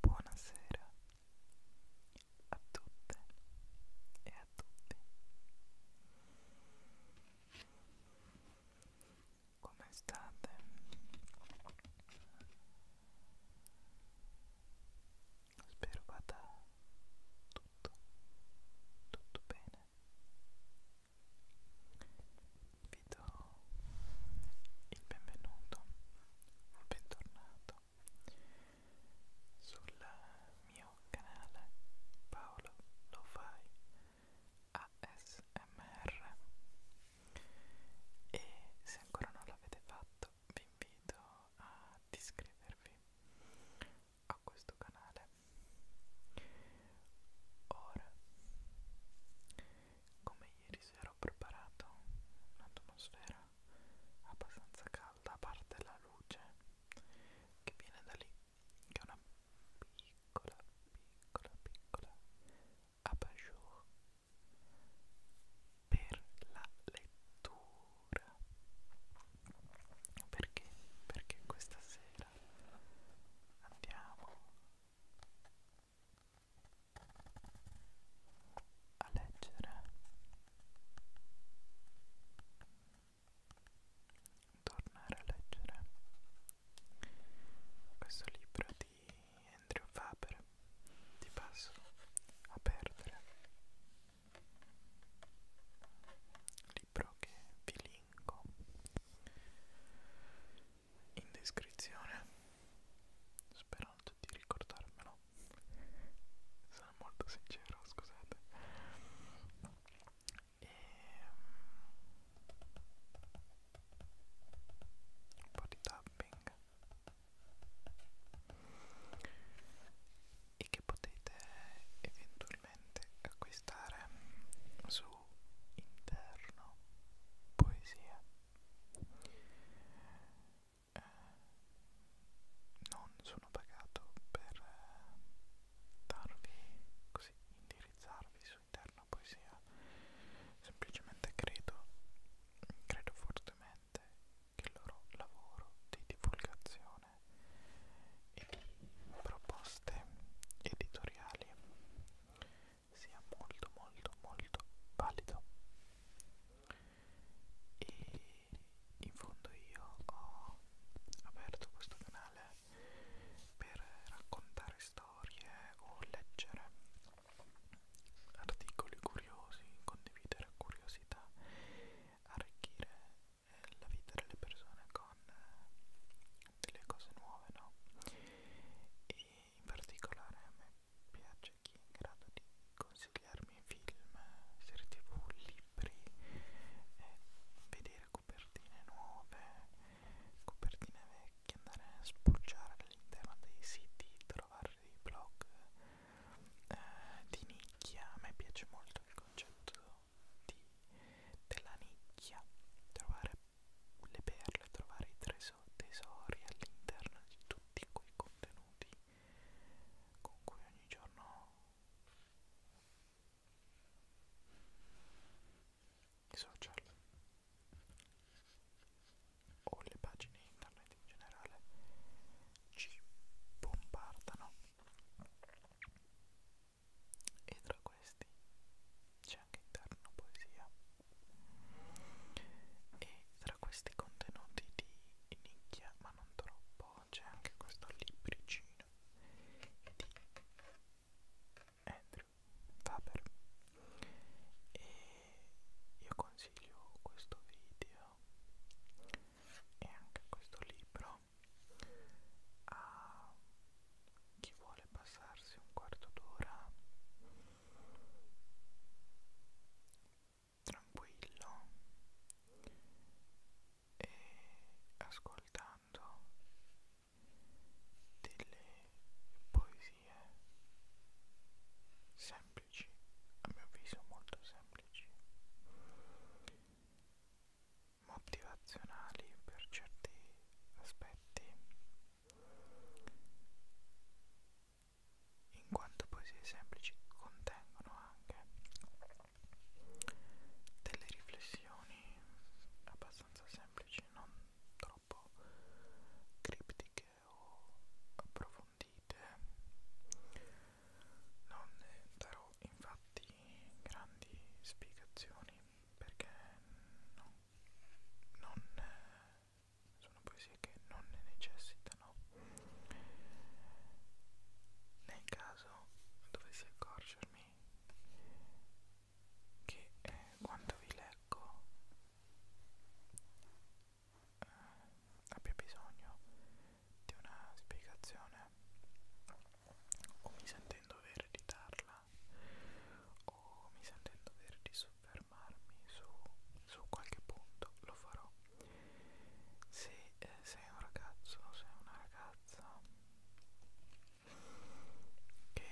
Buonasera a tutte e a tutti come state? Spero vada tutto, tutto bene. Vi do il benvenuto o bentornato sul mio canale Paolo Lo Fai ASMR e se ancora non l'avete fatto vi invito ad iscrivervi a questo canale ora come ieri sera ho preparato un'atmosfera abbastanza calda a parte la luce che viene da lì che è una piccola, piccola, piccola abajur per la lettura. Perché? Perché questa sera andiamo a leggere tornare a leggere questo libro di Andrew Faber ti passo a perdere libro che vi linko in descrizione sperando di ricordarmelo sono molto sincero scusate e ehm, un po' di tapping e che potete eventualmente acquistare su interno poesia eh, non sono pagato per eh, darvi così indirizzarvi su suo interno poesia, semplicemente credo, credo fortemente che il loro lavoro di divulgazione e di proposte editoriali sia molto molto molto valido e in fondo io ho aperto questo canale per raccontare storie o leggere articoli curiosi, condividere curiosità, arricchire eh, la vita delle persone con eh, delle cose nuove, no? E in particolare a me piace chi è in grado di consigliarmi film, serie tv, libri, eh, vedere copertine nuove, copertine vecchie, andare a spulciare all'interno dei siti, trovare dei blog eh, di nicchia, a me piace molto il concetto di, della nicchia, trovare le perle, trovare i tesori, tesori all'interno di tutti quei contenuti con cui ogni giorno i social o le pagine internet in generale ci bombardano e tra questi c'è anche interno poesia e tra questi contenuti di nicchia ma non troppo c'è anche questo libricino di Andrew Faber e io consiglio questo video e anche questo libro a chi vuole passarsi un quarto d'ora tranquillo e ascoltando delle poesie semplici, a mio avviso molto semplici, motivazionali per certi aspetti, in quanto poesie semplici contengono anche delle riflessioni abbastanza semplici semplici, non troppo criptiche o approfondite. Non ne darò infatti grandi spiegazioni perché no, non sono poesie che non ne necessitano. Nel caso dovessi accorgermi che eh, quando vi leggo eh, abbia bisogno di una spiegazione o mi sento in dovere di darla o mi sento in dovere di soffermarmi su, su qualche punto lo farò se eh, sei un ragazzo o sei una ragazza che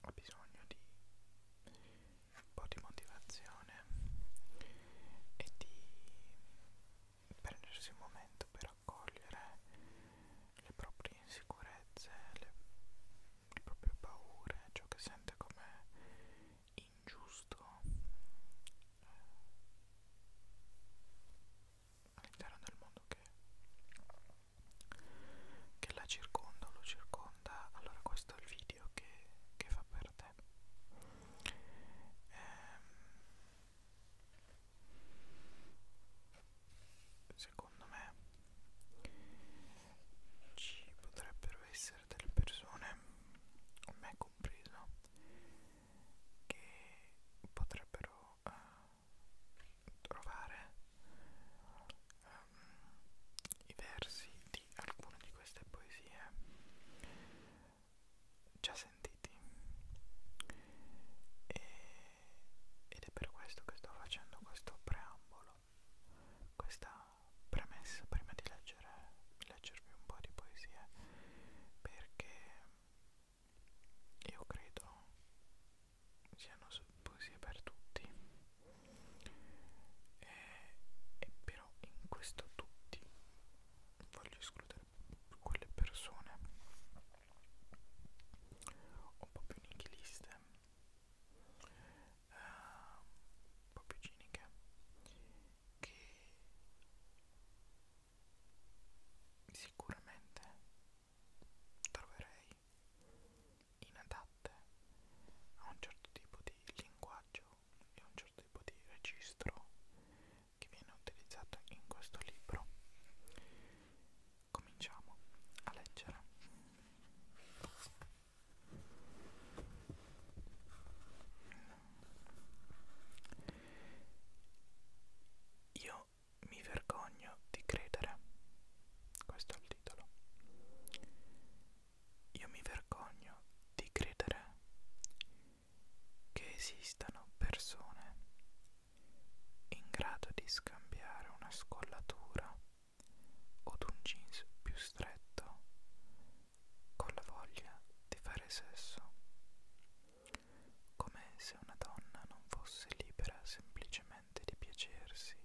ho bisogno di un po' di motivazione e di prendersi un momento per accogliere le proprie insicurezze, le, le proprie paure, ciò che sente come ingiusto all'interno del mondo che, che la circonda o lo circonda, allora questo è il video che, che fa per te. Ehm, secondo me ci potrebbero essere delle persone, me compreso, che potrebbero uh, trovare um, i versi di alcune di queste poesie già sentiti e, ed è per questo che sto facendo questo preambolo questa premessa prima di leggere leggervi un po' di poesie perché io credo siano poesie per tutti e, e però in questo tutti voglio escludere quelle persone un po' più nichiliste uh, un po' più ciniche che sicuramente troverei inadatte a un certo tipo di linguaggio e a un certo tipo di registro che viene utilizzato in questo libro. Cominciamo a leggere. Io mi vergogno di credere. Questo è il titolo. Io mi vergogno di credere che esistano persone in grado di scambiare una scollatura od un jeans più stretto con la voglia di fare sesso come se una donna non fosse libera semplicemente di piacersi,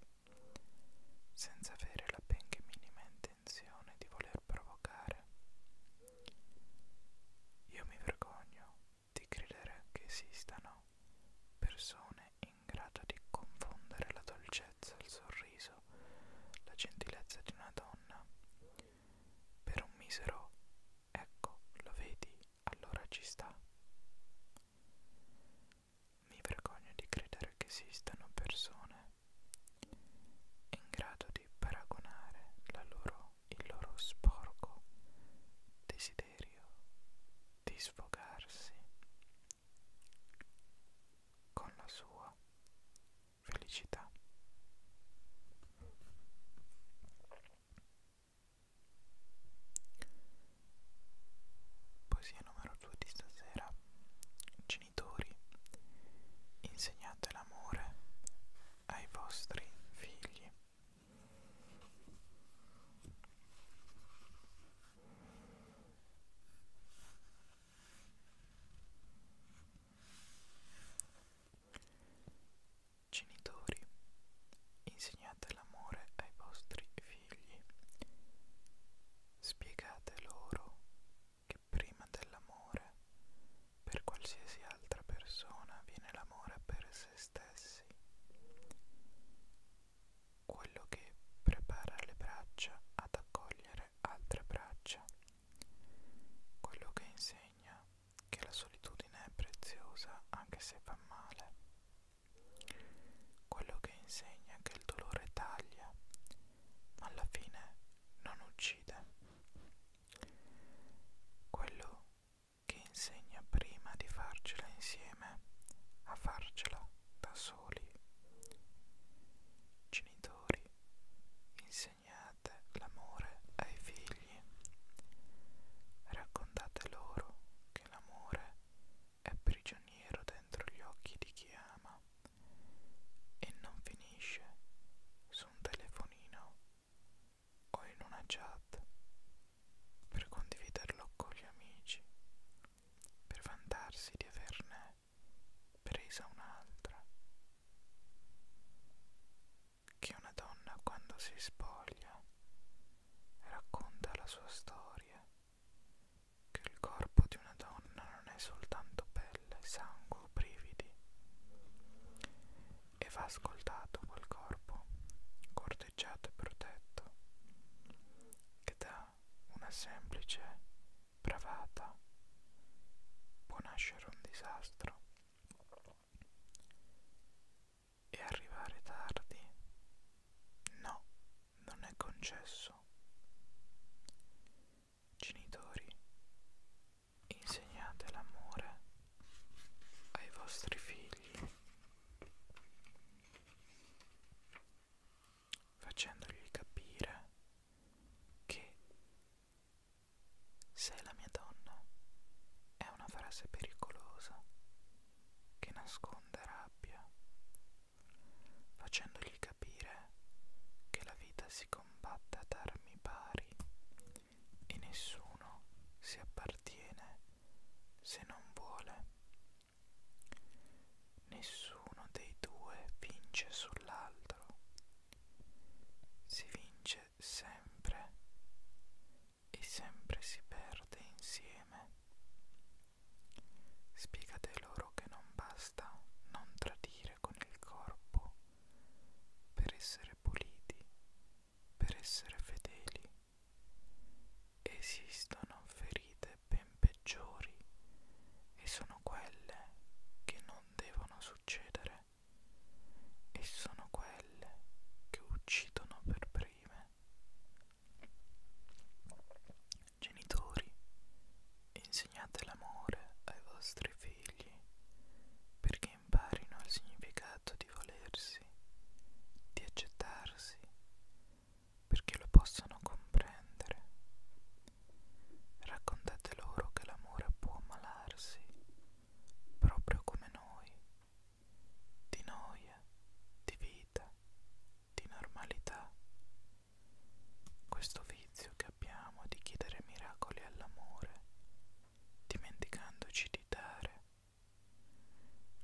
senza avere la benché minima intenzione di voler provocare. Io mi vergogno di credere che esistano persone in grado di confondere la dolcezza, il sorriso, la gentilezza di una donna per un misero Ecco, lo vedi, allora ci sta. Mi vergogno di credere che esistano persone in grado di paragonare la loro, il loro sporco desiderio di sfogarsi con la sua felicità. Poesia numero 2 di stasera. Genitori, insegnate l'amore ai vostri figli. Genitori, insegnate l'amore ai vostri figli. Spiegate loro che prima dell'amore, per qualsiasi altra persona, viene l'amore per se stessi. Quello che prepara le braccia ad accogliere altre braccia. Quello che insegna che la solitudine è preziosa anche se fa male. Quello che insegna che il dolore taglia, ma alla fine non uccide. Quello che insegna prima di farcela insieme a farcela da soli. Genitori, insegnate l'amore ai figli. Raccontate loro che l'amore è prigioniero dentro gli occhi di chi ama e non finisce su un telefonino o in una chat per condividerlo con gli amici, per vantarsi di averne presa un'altra che una donna quando si spoglia racconta la sua storia, che il corpo di una donna non è soltanto pelle, sangue o brividi, e va ascoltato quel corpo, corteggiato e protetto, che da una semplice bravata può nascere un disastro. E arrivare tardi? No, non è concesso. Genitori, insegnate l'amore ai vostri figli facendogli capire che sei la mia donna è una frase pericolosa che nasconde rabbia, facendogli capire che la vita si combatte ad armi pari e nessuno si appartiene se non vuole. Nessuno dei due vince sull'altro, si vince cresce sempre e sempre si perde insieme. Spiegate loro che non basta non tradire con il corpo per essere puliti, per essere fedeli. Esistono ferite ben peggiori e sono quelle che non devono succedere vite e sono quelle che uccidono per prime. Genitori, insegnate l'amore ai vostri figli perché imparino il significato di volersi, di accettarsi, perché lo possano comprendere. Raccontate loro che l'amore può ammalarsi proprio come noi, di noia, di vita, di normalità. Questo vizio che abbiamo di chiedere miracoli all'amore, dimenticandoci di dare.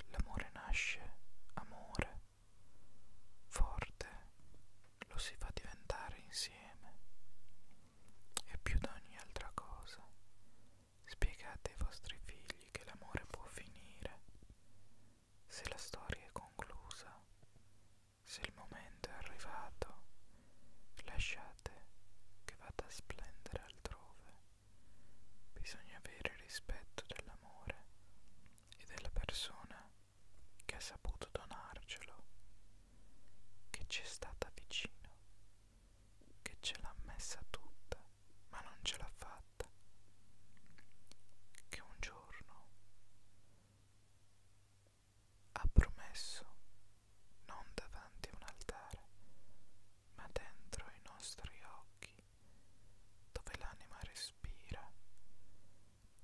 L'amore nasce amore, forte, lo si fa diventare insieme e più di ogni altra cosa Spiegate ai vostri figli che l'amore può finire, se la storia è conclusa, se il momento è arrivato, lasciate che vada a splendere altrove. Bisogna avere rispetto dell'amore e della persona che ha saputo donarcelo, che ci è stata vicino che ce l'ha messa tutta, ma non ce l'ha fatta, che un giorno ha promesso non davanti a un altare, ma dentro i nostri occhi, dove l'anima respira,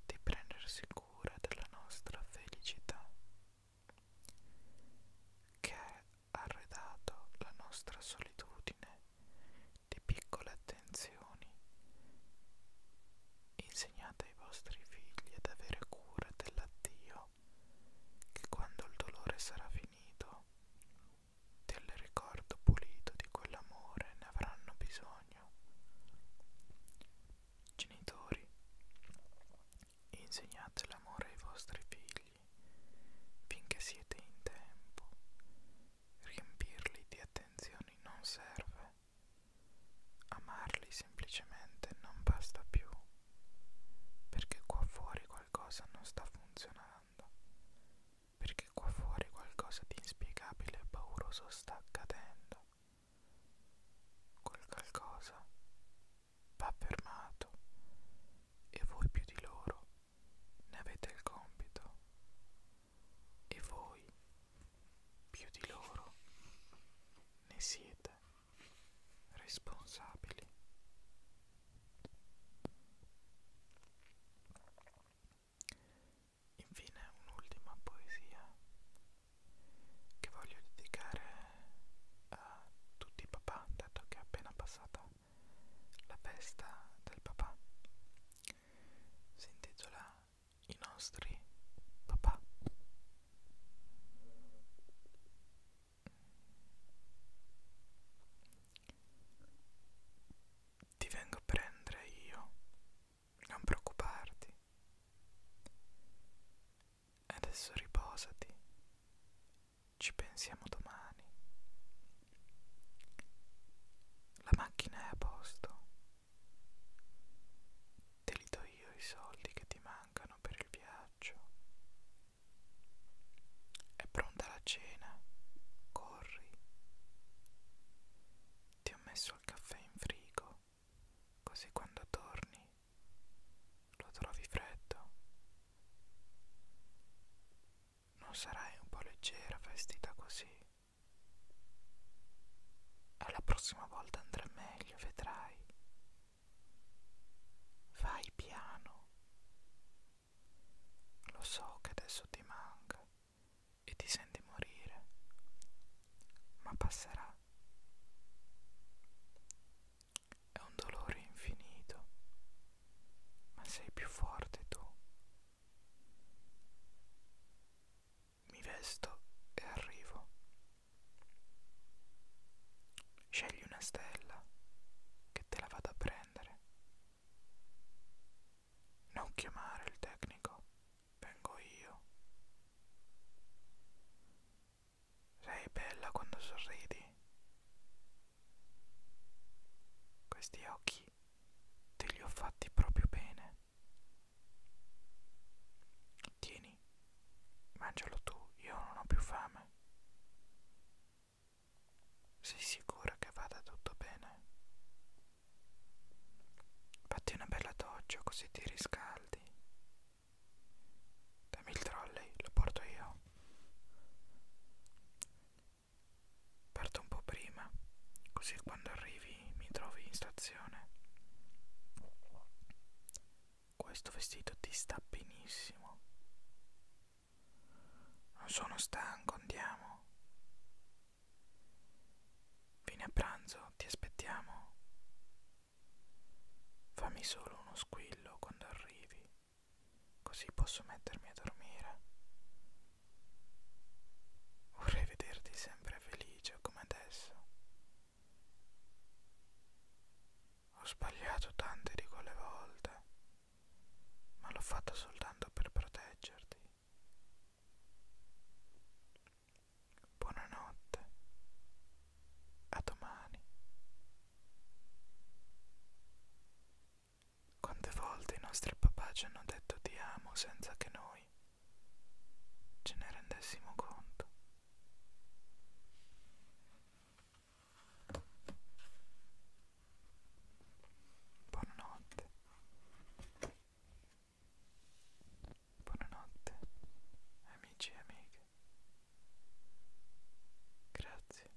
di prendersi cura della nostra felicità, che è arredato la nostra solitudine di piccole attenzioni. Insegnate ai vostri figli ad avere cura dell'addio, che quando il dolore sarà finito, del ricordo pulito di quell'amore ne avranno bisogno. Genitori, e insegnate l'amore ai vostri figli finché siete in tempo. Riempirli di attenzioni non serve, amarli semplicemente non basta più, perché qua fuori qualcosa non sta funzionando, perché qua fuori qualcosa di inspiegabile e pauroso sta accadendo. Quel qualcosa va fermato e voi più di loro ne avete il compito e voi più di loro ne siete responsabili. Infine un'ultima poesia che voglio dedicare a eh, tutti i papà, dato che è appena passata la festa del papà. Si intitola I nostri papà. Ti vengo a prendere io, non preoccuparti. Adesso riposati ci pensiamo domani. La macchina è a posto. Te li do io i soldi che ti mancano per il viaggio. È pronta la cena. Corri. Ti ho messo il caffè in frigo, così quando torni lo trovi freddo? Non sarai un po' leggera vestita così? Alla prossima volta andrà meglio, vedrai. Vai piano. Lo so che adesso ti manca e ti senti morire, ma passerà. È un dolore infinito, ma sei più forte tu. Mi vesto e arrivo. Scegli una stella che te la vado a prendere. Non chiamare il tecnico, vengo io. Sei bella quando sorridi. Questi occhi te li ho fatti proprio bene. Tieni, mangialo tu, io non ho più fame. Sei sicura che vada tutto bene? Fatti una bella doccia così ti riscaldi. Dammi il trolley, lo porto io. Parto un po' prima, così quando arrivi mi trovi in stazione. Questo vestito ti sta benissimo. Non sono stanco, andiamo. Vieni a pranzo, ti aspettiamo. Fammi solo uno squillo quando arrivi, così posso mettermi a dormire. Vorrei vederti sempre felice come adesso. Ho sbagliato tante di quelle volte, ma l'ho fatto soltanto per proteggerti. Buonanotte. A domani. Quante volte i nostri papà ci hanno detto ti amo senza che noi ce ne rendessimo conto. Buonanotte. Buonanotte, amici e amiche. Grazie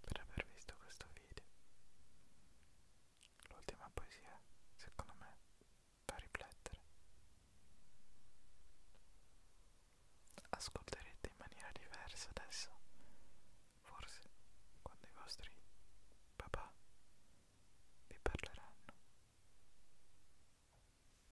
per aver visto questo video. L'ultima poesia, secondo me, fa riflettere. Ascolterete in maniera diversa adesso, forse quando i vostri papà vi parleranno.